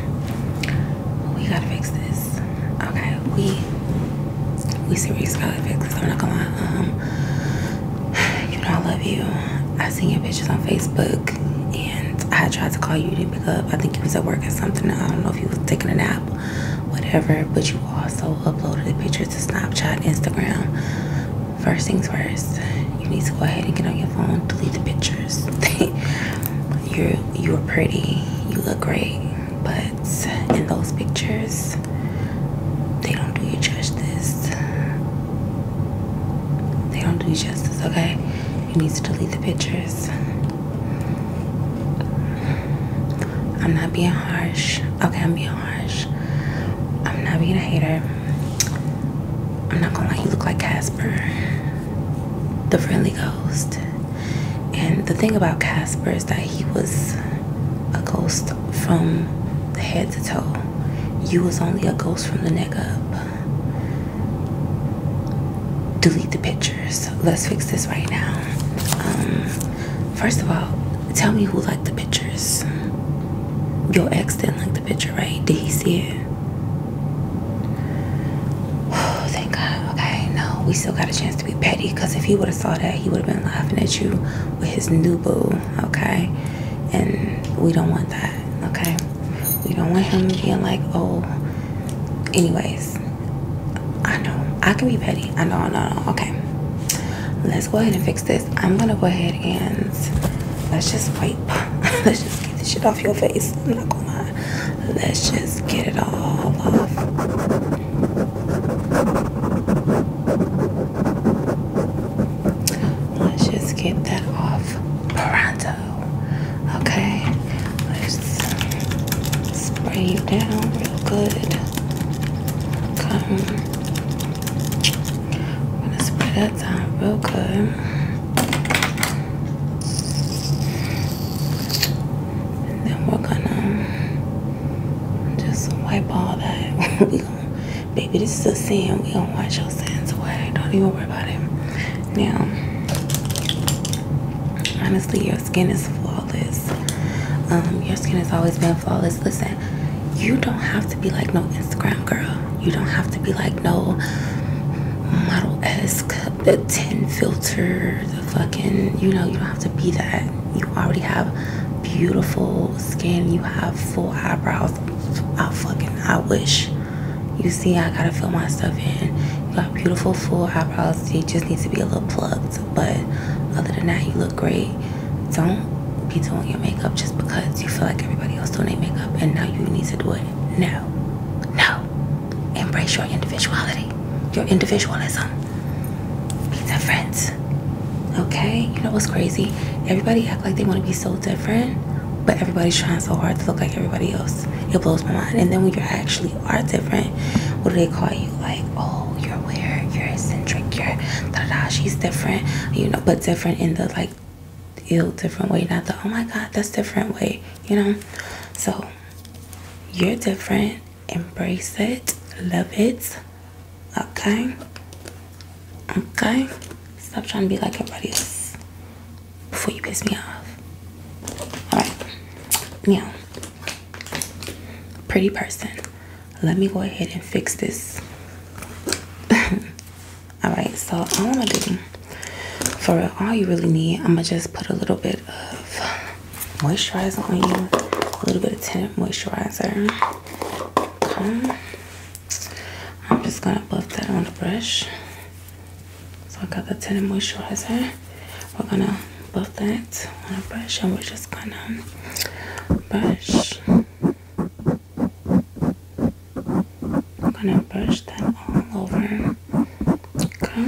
We gotta fix this. Okay, we we serious gotta fix this. I'm not gonna lie. Um, you know I love you. I seen your pictures on Facebook, and I tried to call you, you didn't pick up. I think you was at work or something. I don't know if you was taking a nap, whatever. But you also uploaded the pictures to Snapchat, Instagram. First things first, you need to go ahead and get on your phone, delete the pictures. you're you're pretty, you look great, but in those pictures they don't do you justice. They don't do you justice, okay? You need to delete the pictures. I'm not being harsh. Okay, I'm being harsh. I'm not being a hater. I'm not gonna let you look like Casper the friendly ghost. And the thing about Casper is that he was a ghost from head to toe. You was only a ghost from the neck up. Delete the pictures. Let's fix this right now. Um, first of all, tell me who liked the pictures. Your ex didn't like the picture, right? Did he see it? thank God. Okay, no, we still got a chance to be petty. Cause if he would have saw that, he would have been laughing at you with his new boo. Okay, and we don't want that. Okay, we don't want him being like, oh. Anyways, I know I can be petty. I know, I know, Okay, let's go ahead and fix this. I'm gonna go ahead and let's just wipe. let's just get this shit off your face. I'm not gonna lie. Let's just get it all off. Let's just get that off. Pronto. Okay. Let's spray you down real good. Come. i gonna spray that down real good then we're gonna just wipe all that. baby, this is a sin. We gonna wash your sins away. Don't even worry about it. Now, honestly, your skin is flawless. Um, your skin has always been flawless. Listen, you don't have to be like no Instagram girl. You don't have to be like no model esque, the 10 filter, the fucking, you know, you don't have to be that. You already have beautiful skin, you have full eyebrows. I fucking, I wish. You see, I gotta fill my stuff in. You got beautiful full eyebrows, they just needs to be a little plugged. But other than that, you look great. Don't be doing your makeup just because you feel like everybody else doing their makeup and now you need to do it no, no. Embrace your individuality, your individualism. Be friends, Okay? You know what's crazy? Everybody act like they want to be so different, but everybody's trying so hard to look like everybody else. It blows my mind. And then when you actually are different, what do they call you? Like, oh, you're weird, you're eccentric, you're da da. She's different, you know, but different in the like feel different way and I thought, oh my god that's different way you know so you're different embrace it love it okay okay stop trying to be like everybody else before you piss me off all right now pretty person let me go ahead and fix this all right so i'm gonna do for all you really need i'm gonna just put a little bit of moisturizer on you a little bit of tinted moisturizer i'm just gonna buff that on a brush so i got the tinted moisturizer we're gonna buff that on a brush and we're just gonna brush I'm gonna brush that all over. Okay.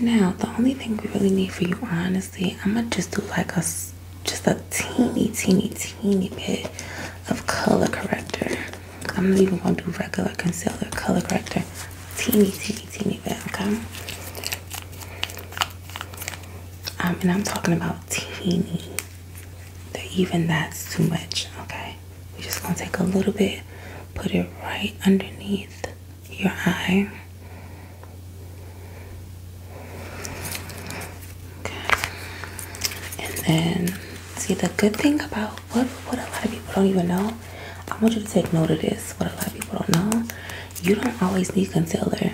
Now the only thing we really need for you, honestly, I'm gonna just do like a just a teeny, teeny, teeny bit of color corrector. I'm not even gonna do regular concealer, color corrector, teeny, teeny, teeny bit. Okay. Um, and I'm talking about teeny that even that's too much, okay? We're just gonna take a little bit, put it right underneath your eye. Okay. And then see the good thing about what what a lot of people don't even know. I want you to take note of this. What a lot of people don't know. You don't always need concealer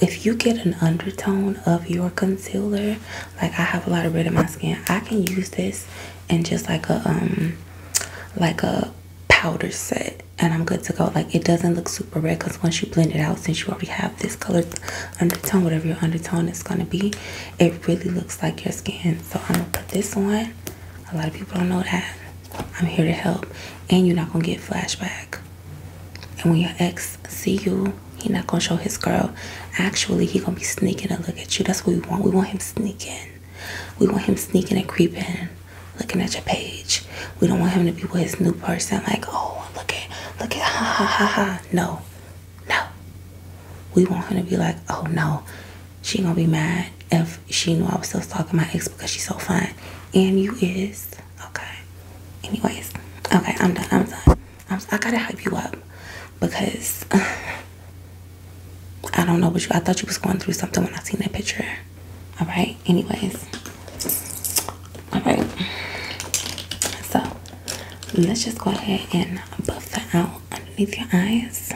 if you get an undertone of your concealer, like I have a lot of red in my skin, I can use this and just like a um like a powder set and I'm good to go. Like it doesn't look super red because once you blend it out, since you already have this color undertone, whatever your undertone is gonna be, it really looks like your skin. So I'm gonna put this on. A lot of people don't know that. I'm here to help. And you're not gonna get flashback. And when your ex see you, he not gonna show his girl. Actually, he gonna be sneaking a look at you. That's what we want. We want him sneaking. We want him sneaking and creeping, looking at your page. We don't want him to be with his new person. Like, oh, look at, look at, ha ha ha ha. No, no. We want him to be like, oh no, she gonna be mad if she knew I was still stalking my ex because she's so fine. And you is. Okay. Anyways, okay, I'm done. I'm done. I'm, I am done i am done i i got to hype you up because I don't know what you. I thought you was going through something when I seen that picture. All right. Anyways. All right. So let's just go ahead and buff that out underneath your eyes.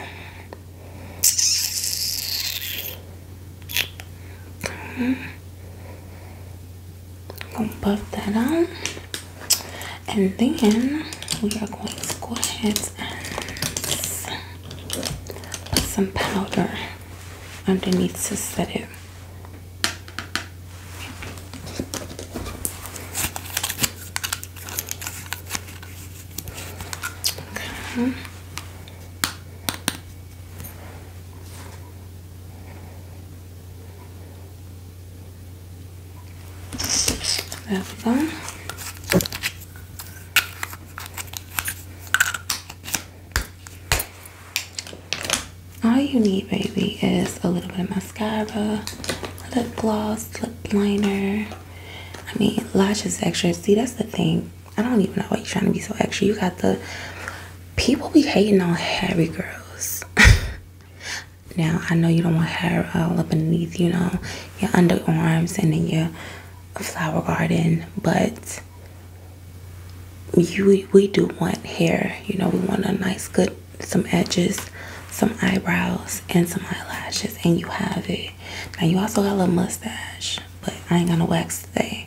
Okay. Gonna buff that out, and then we are going to go ahead and put some powder underneath to set it. Okay. There we All you need, baby, is a little bit of mascara, lip gloss, lip liner. I mean, lashes extra. See, that's the thing. I don't even know why you're trying to be so extra. You got the people be hating on hairy girls. now I know you don't want hair all up underneath, you know, your underarms and then your flower garden, but you we do want hair. You know, we want a nice good some edges, some eyebrows, and some eyelashes, and you have it. Now you also got a little mustache, but I ain't gonna wax today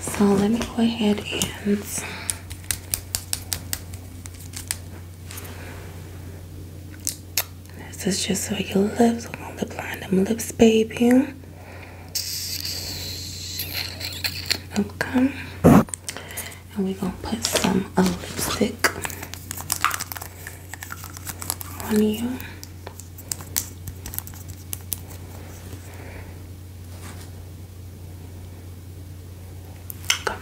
so let me go ahead and this is just for your lips. We're gonna lip line them lips, baby. Okay. And we're gonna put some uh, lipstick on you. Okay.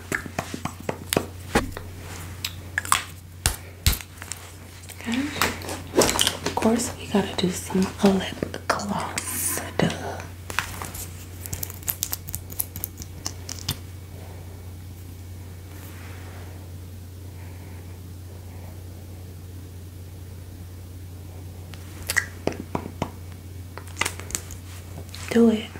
okay. Of course, we gotta do some uh, lip do it.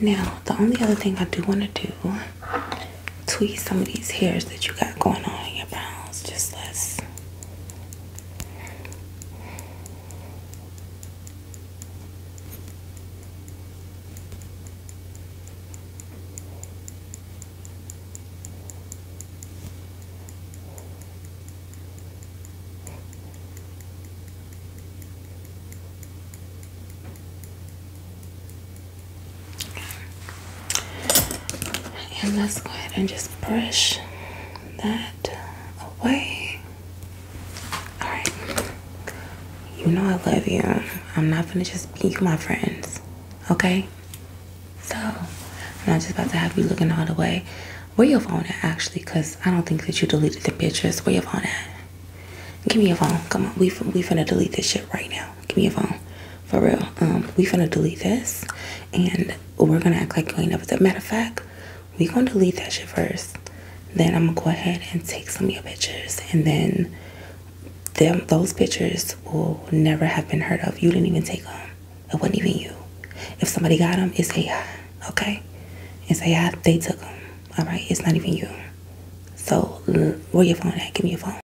Now, the only other thing I do want to do tweak some of these hairs that you got going on in your brows just less. And let's go ahead and just brush that away. Alright. You know I love you. I'm not gonna just be my friends. Okay? So I'm not just about to have you looking all the way. Where your phone at actually? Cause I don't think that you deleted the pictures. Where your phone at? Give me your phone. Come on, we we finna delete this shit right now. Give me a phone. For real. Um, we finna delete this and we're gonna act like we ain't never a Matter of fact, we gonna delete that shit first. Then I'm gonna go ahead and take some of your pictures and then them those pictures will never have been heard of. You didn't even take them. It wasn't even you. If somebody got them, it's AI, okay? It's AI, they took them, all right? It's not even you. So, where your phone at? Give me your phone.